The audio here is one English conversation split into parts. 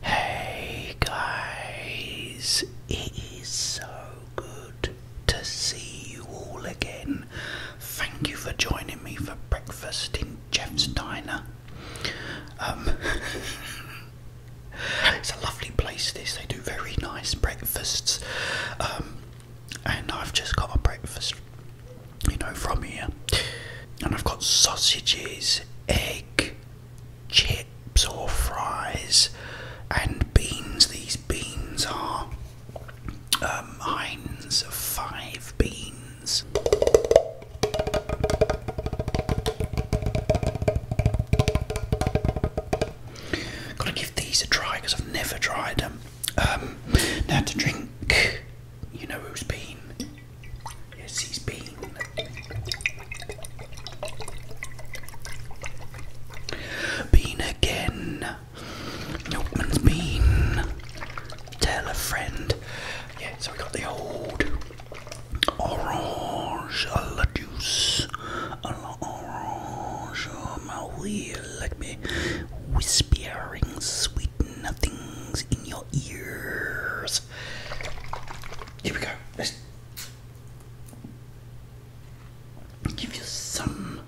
Hey guys, it is so good to see you all again. Thank you for joining me for breakfast in Jeff's Diner. Um, it's a lovely place, this. They do very nice breakfasts. Um, and I've just got a breakfast you know, from here. And I've got sausages, egg, chips or fries, and beans. These beans are um, Heinz five beans. Gotta give these a try because I've never tried them. Um, now to drink, you know who's been Yes, he's been. again. Milkman's been. Tell a friend. Yeah, so we got the old orange juice. orange. My wheel, let me whispering sweet nothings in your little ears. Here we go. give you some.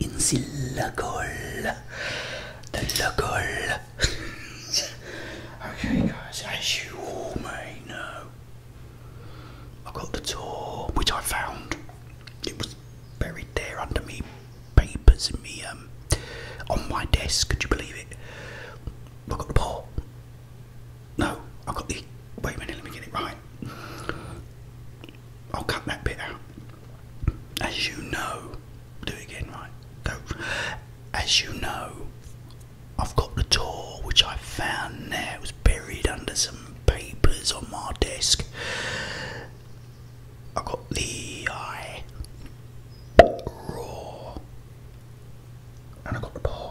Insilacol. The lacol. okay, guys, as you all may know, I got the tour, which I found. It was buried there under me papers and me um on my desk. Could you believe it? I got the paw. No, I got the. Wait a minute, let me get it right. I'll cut that bit out. As you know, do it again, right? Go. As you know, I've got the tour which I found there. It was buried under papers on my desk. I got the eye raw, and I got the pot.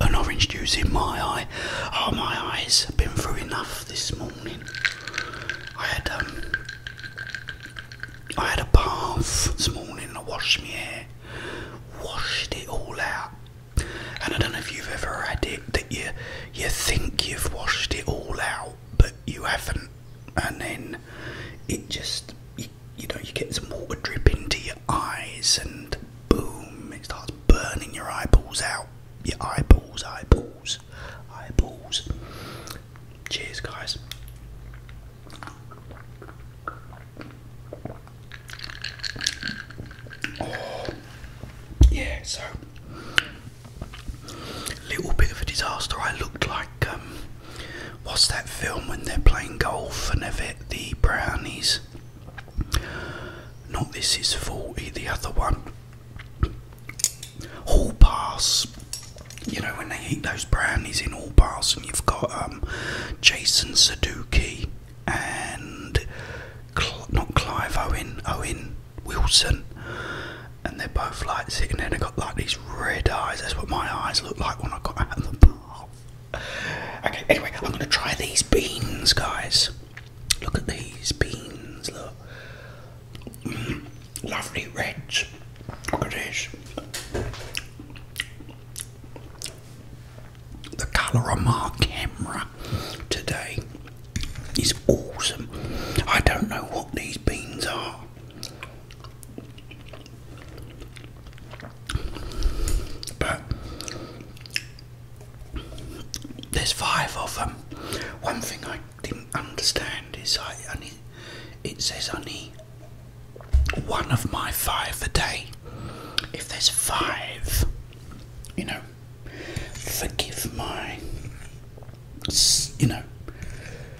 An orange juice in my eye. Oh, my eyes have been through enough this morning. I had um, I had a bath this morning. I washed my hair, washed it all out. And I don't know if you've ever had it that you you think you've washed it all out, but you haven't and then it just you, know you get some water drip into your eyes and boom it starts burning your eyeballs out your eyeballs eyeballs eyeballs cheers guys oh, yeah so little bit of a disaster. I looked like um, what's that film when they're playing golf and they've the brownies? Not this is forty. The other one, Hall Pass. You know when they eat those brownies in all Pass, and you've got um, Jason Sudeikis and not Clive Owen. Owen. Wilson, and they're both like sitting there. They got like these red eyes. That's what my eyes look like when I got out of the bath. Okay. Anyway, I'm gonna try these beans, guys. Look at these beans. Look, mm, lovely reds. Look at this. The colour of my camera today is awesome. I don't know what these beans are. But there's five of them. One thing I didn't understand is I only it says only one of my five a day. If there's five, you know, forgive my, you know,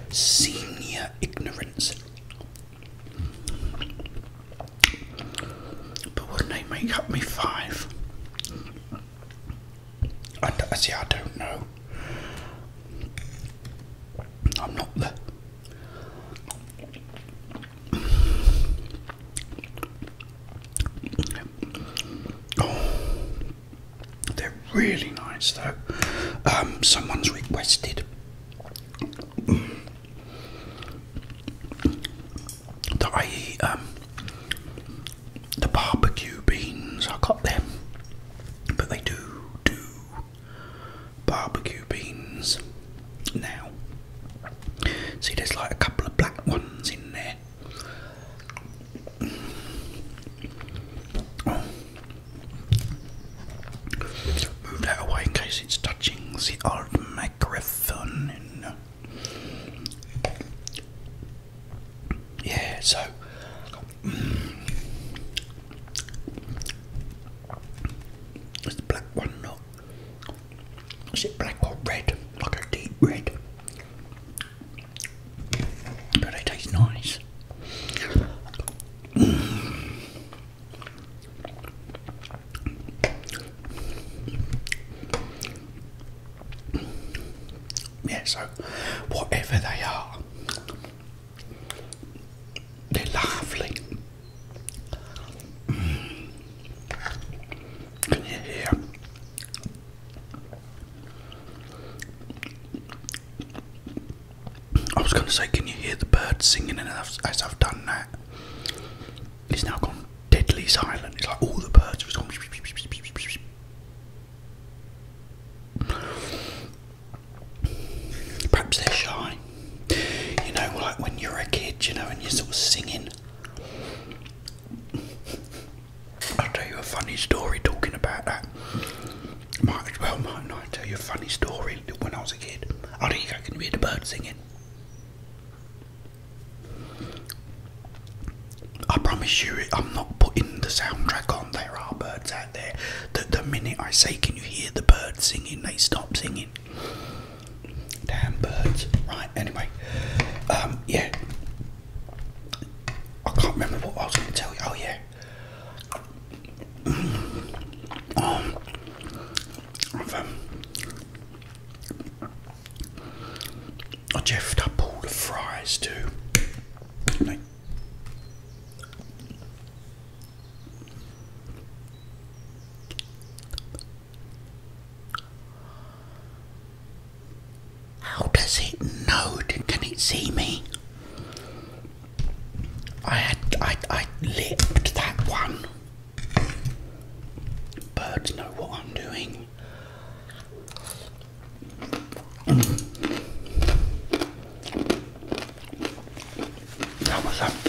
senior ignorance. But wouldn't they make up me five? I, see, I don't know. I'm not the. They're really nice though. Um, someone's requested that um, the barbecue beans. I got them, but they do do barbecue beans now. See, there's like a couple of black ones in there. Move that away in case it's touching the old microphone. Yeah, so. Mm, black one not? Is it black or red? Like a deep red? But it tastes nice. Yeah, so whatever they are, they're lovely. Can you hear I was going to say, can you hear the birds singing? And as, as I've done that, it's now gone deadly silent. It's like all the birds have gone. Perhaps they're shy. You know, like when you're a kid, you know, and you're sort of singing. I'll tell you a funny story talking about that. Might as well, might not. i tell you a funny story when I was a kid. I think I can hear the birds singing. I promise you, I'm not putting the soundtrack on. There are birds out there the minute I say, Can you hear the birds singing? they stop singing. Damn birds. Right, anyway. Um, yeah, I can't remember what I was going to tell you. Oh, yeah. Um, I've um, jeffed up all the fries too. How does it know? Can it see me? I had I I lipped that one. Birds know what I'm doing. That was a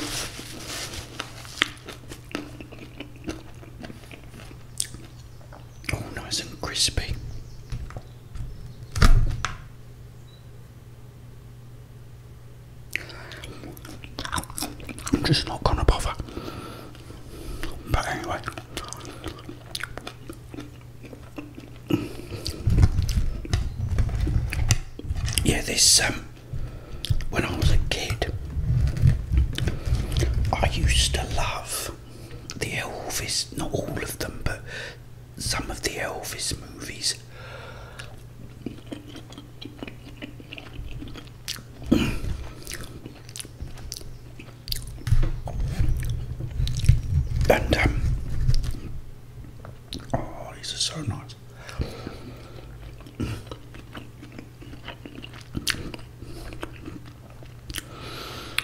all oh, nice and crispy. I'm just not gonna bother. But anyway, yeah, this um, when I was a kid, I used to love the Elvis, not all of them, but some of the Elvis movies. And, um, oh, these are so nice.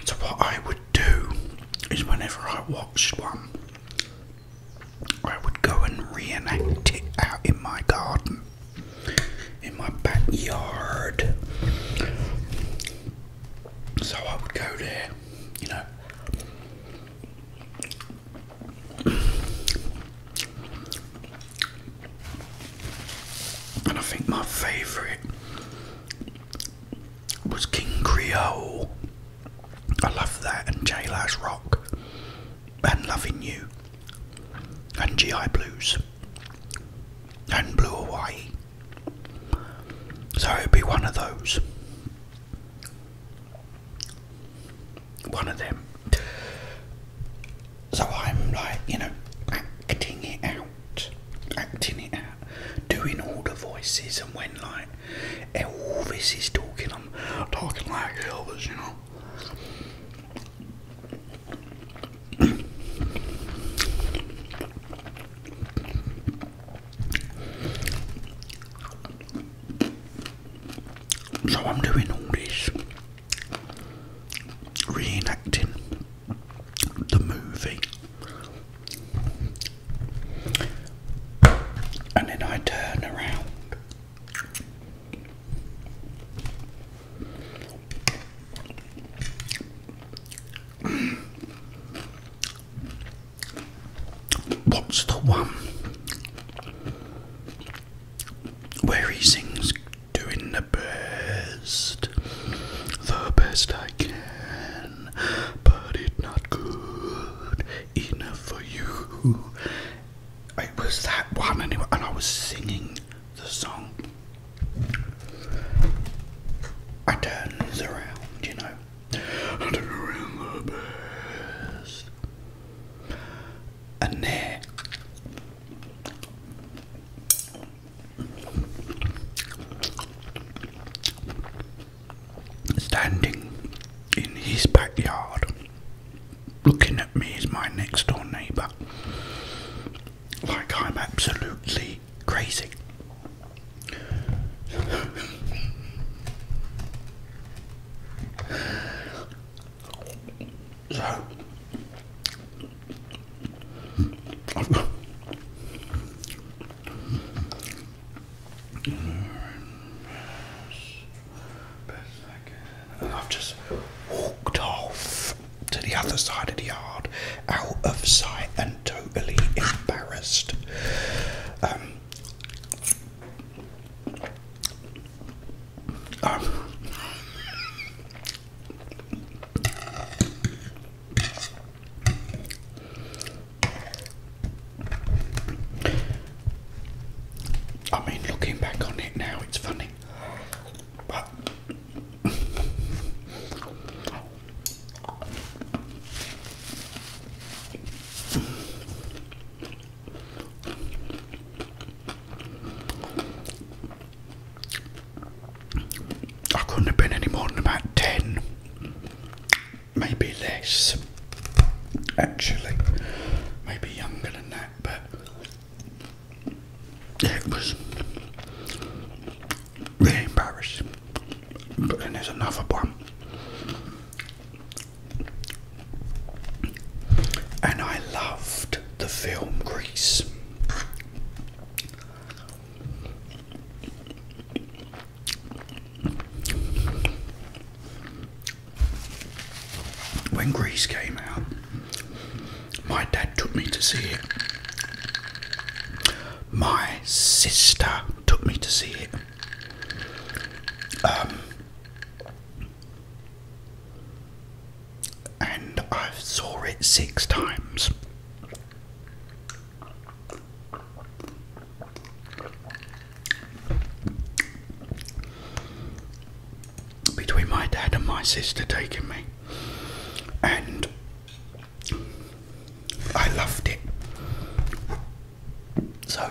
So, what I would do is whenever I watched one, I would go and reenact it out in my garden, in my backyard. So, I would go there, you know. And I think my favourite was King Creole. I love that, and Jailhouse Rock, and Loving You, and GI Blues, and Blue Hawaii. So it'd be one of those one of them. So I'm like, you know, acting it out, acting it out, doing all the voices, and when like Elvis is talking, I'm talking like Elvis, you know. So I'm doing all this reenacting the movie. And then I turn around. What's the one where he sings doing the best, the best I can, but it's not good enough for you. It was that one, anyway, and I was singing the song. I turns around, you know. I turn the best. And there, Standing in his backyard, looking at me as my next door neighbour, like I'm absolutely crazy. I've just walked off to the other side of the yard, out of sight and totally embarrassed. Um, uh, I mean, looking back on it now, it's funny, I couldn't have been any more than about 10, maybe less, actually, maybe younger than that, but it was really embarrassing. But then there's another one and I loved the film Grease. When Grease came out, my dad took me to see it. My sister took me to see it. Um, and I saw it six times. Between my dad and my sister taking me, and I loved it. So,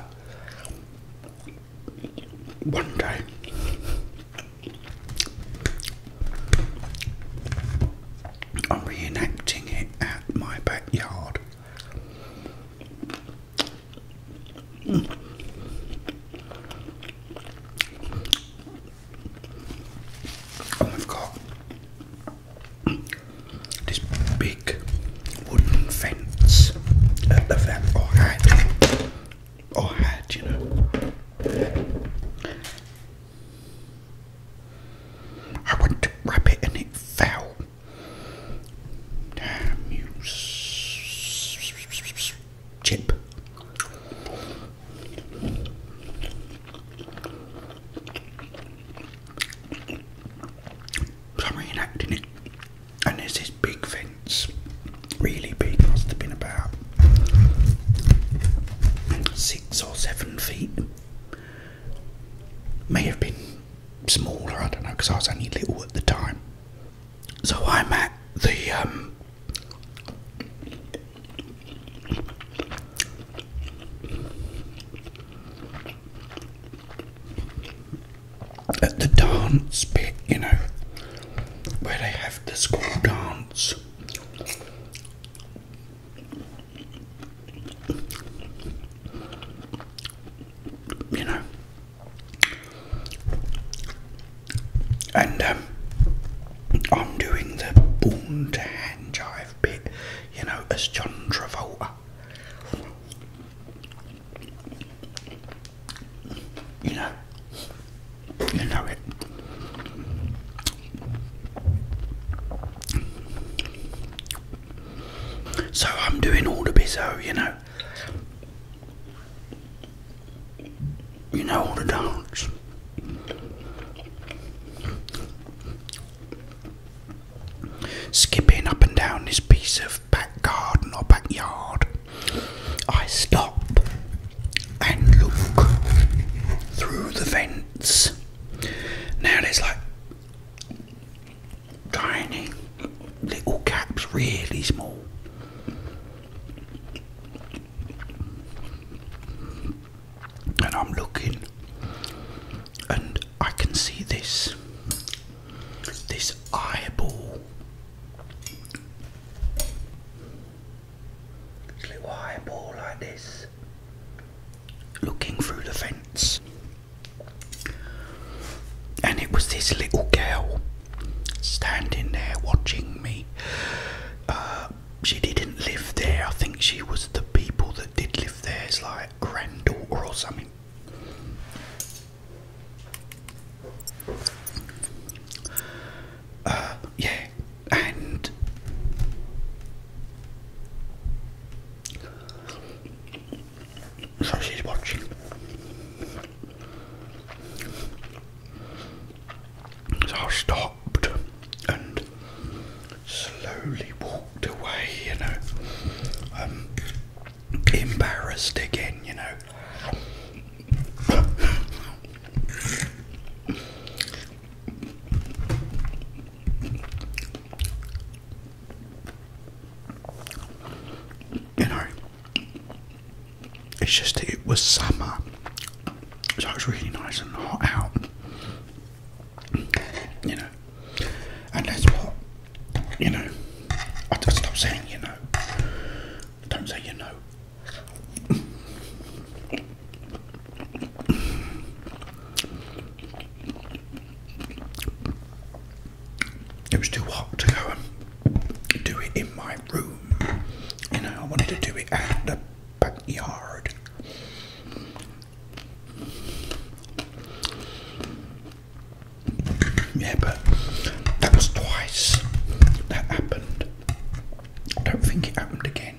one day, I'm reenacting it at my backyard. Mm. have got this big wooden fence at the vet or had, or had, you know. I went to wrap it and it fell. Damn you, chip. I'm reenacting it and there's this big fence, really big, must have been about six or seven feet. May have been smaller, I don't know, because I was only little at the time. So I'm at the um, at the dance bit, you know, where they have the school dance. You know, and um, I'm doing the born to hand jive bit, you know, as John Travolta. You know, you know it. So I'm doing all the biz. Oh, you know. You know all the dance. Skipping up and down this piece of back garden or backyard, I stop and look through the vents. Now there's like tiny little gaps, really small. And I'm looking, and I can see this this eyeball. This little eyeball like this. Looking through the fence. And it was this little girl standing there watching me. Uh, she didn't live there. I think she was the people that did live there, is It's like granddaughter or something. Uh, yeah, and so she's watching. So I stopped and slowly walked away, you know, um, embarrassed again, you know. You know, it's just it was summer, so it was really nice and hot out you know, and that's what, you know, I stop saying, you know, don't say, you know. It was too hot to go and do it in my room. You know, I wanted to do it out the backyard. Yeah, but that was twice that happened. I don't think it happened again.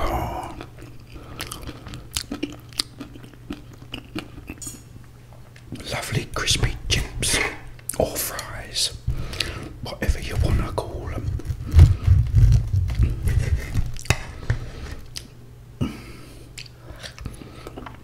Oh. Lovely crispy chips or fries, whatever you want to call them.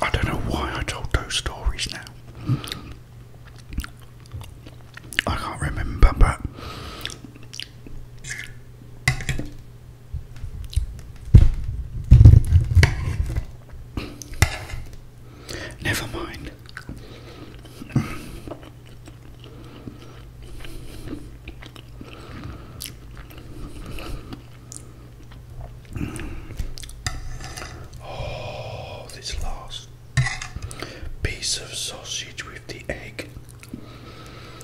I don't know why I told those stories now. I can't remember, but Never mind. Oh, this last piece of sausage with the egg.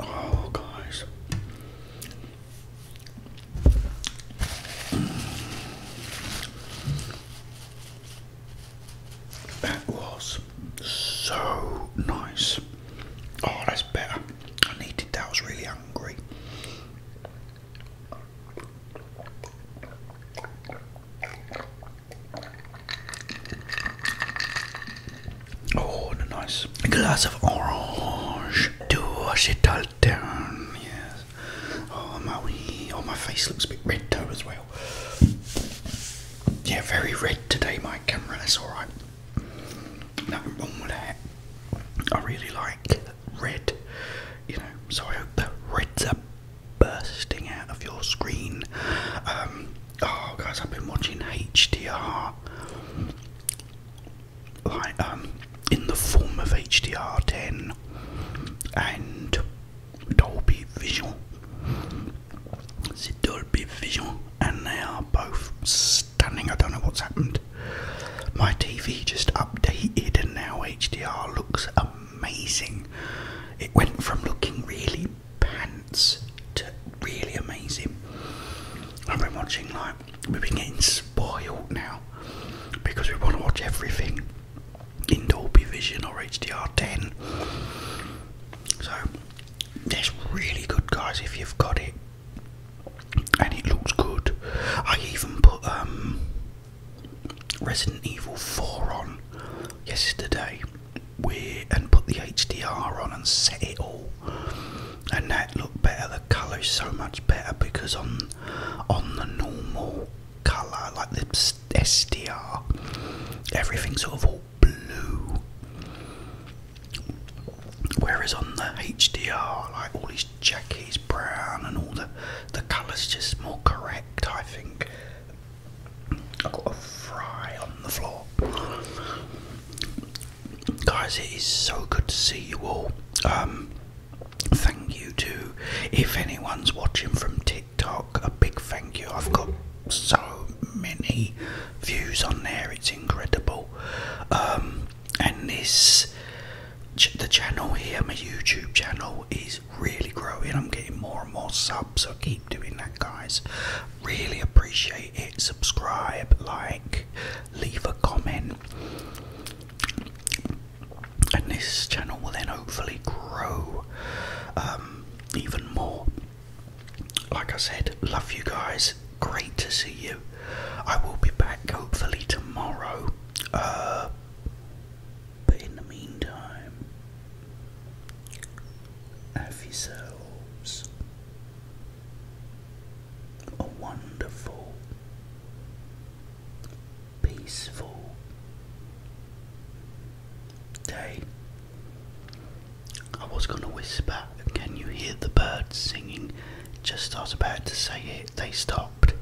Oh, guys. That was so nice. Oh, that's better. I needed that. I was really hungry. Oh, and a nice glass of orange. Do wash it all down. Yes. Oh, my wee. Oh, my face looks a bit red though as well. Yeah, very red today, my camera. That's all right. Nothing wrong with that. I really like red. You know, so I hope the reds are bursting out of your screen. Um, oh, guys, I've been watching HDR like um, in the form of HDR10 and Dolby Vision. It's Dolby Vision, and they are both stunning. I don't know what's happened. My TV just updated, and now HDR looks amazing. It went from looking really pants really amazing. I've been watching like we've been getting spoiled now because we want to watch everything in Dolby Vision or HDR10. So that's really good, guys. If you've got it and it looks good, I even put um, Resident Evil 4 on yesterday. We and put the HDR on and set it all and that looked better. The colour is so much better because on on the normal colour, like the SDR, everything's sort of all blue. Whereas on the HDR, like all these jackets brown and all the the colours just more correct. I think I got a fry on the floor guys, it is so good to see you all. Um, thank you to if anyone's watching from TikTok, a big thank you. I've got so many views on there, it's incredible. Um, and this the channel here, my YouTube channel, is really growing. I'm getting more and more subs, so keep doing that, guys. Really appreciate it. Subscribe, like, leave a comment. And this channel will then hopefully grow um, even more. Like I said, love you guys. Great to see you. I will be back hopefully tomorrow. Uh, but in the meantime, have yourselves a wonderful, peaceful day. I was going to whisper, Can you hear the birds singing? Just I about to say it, they stopped.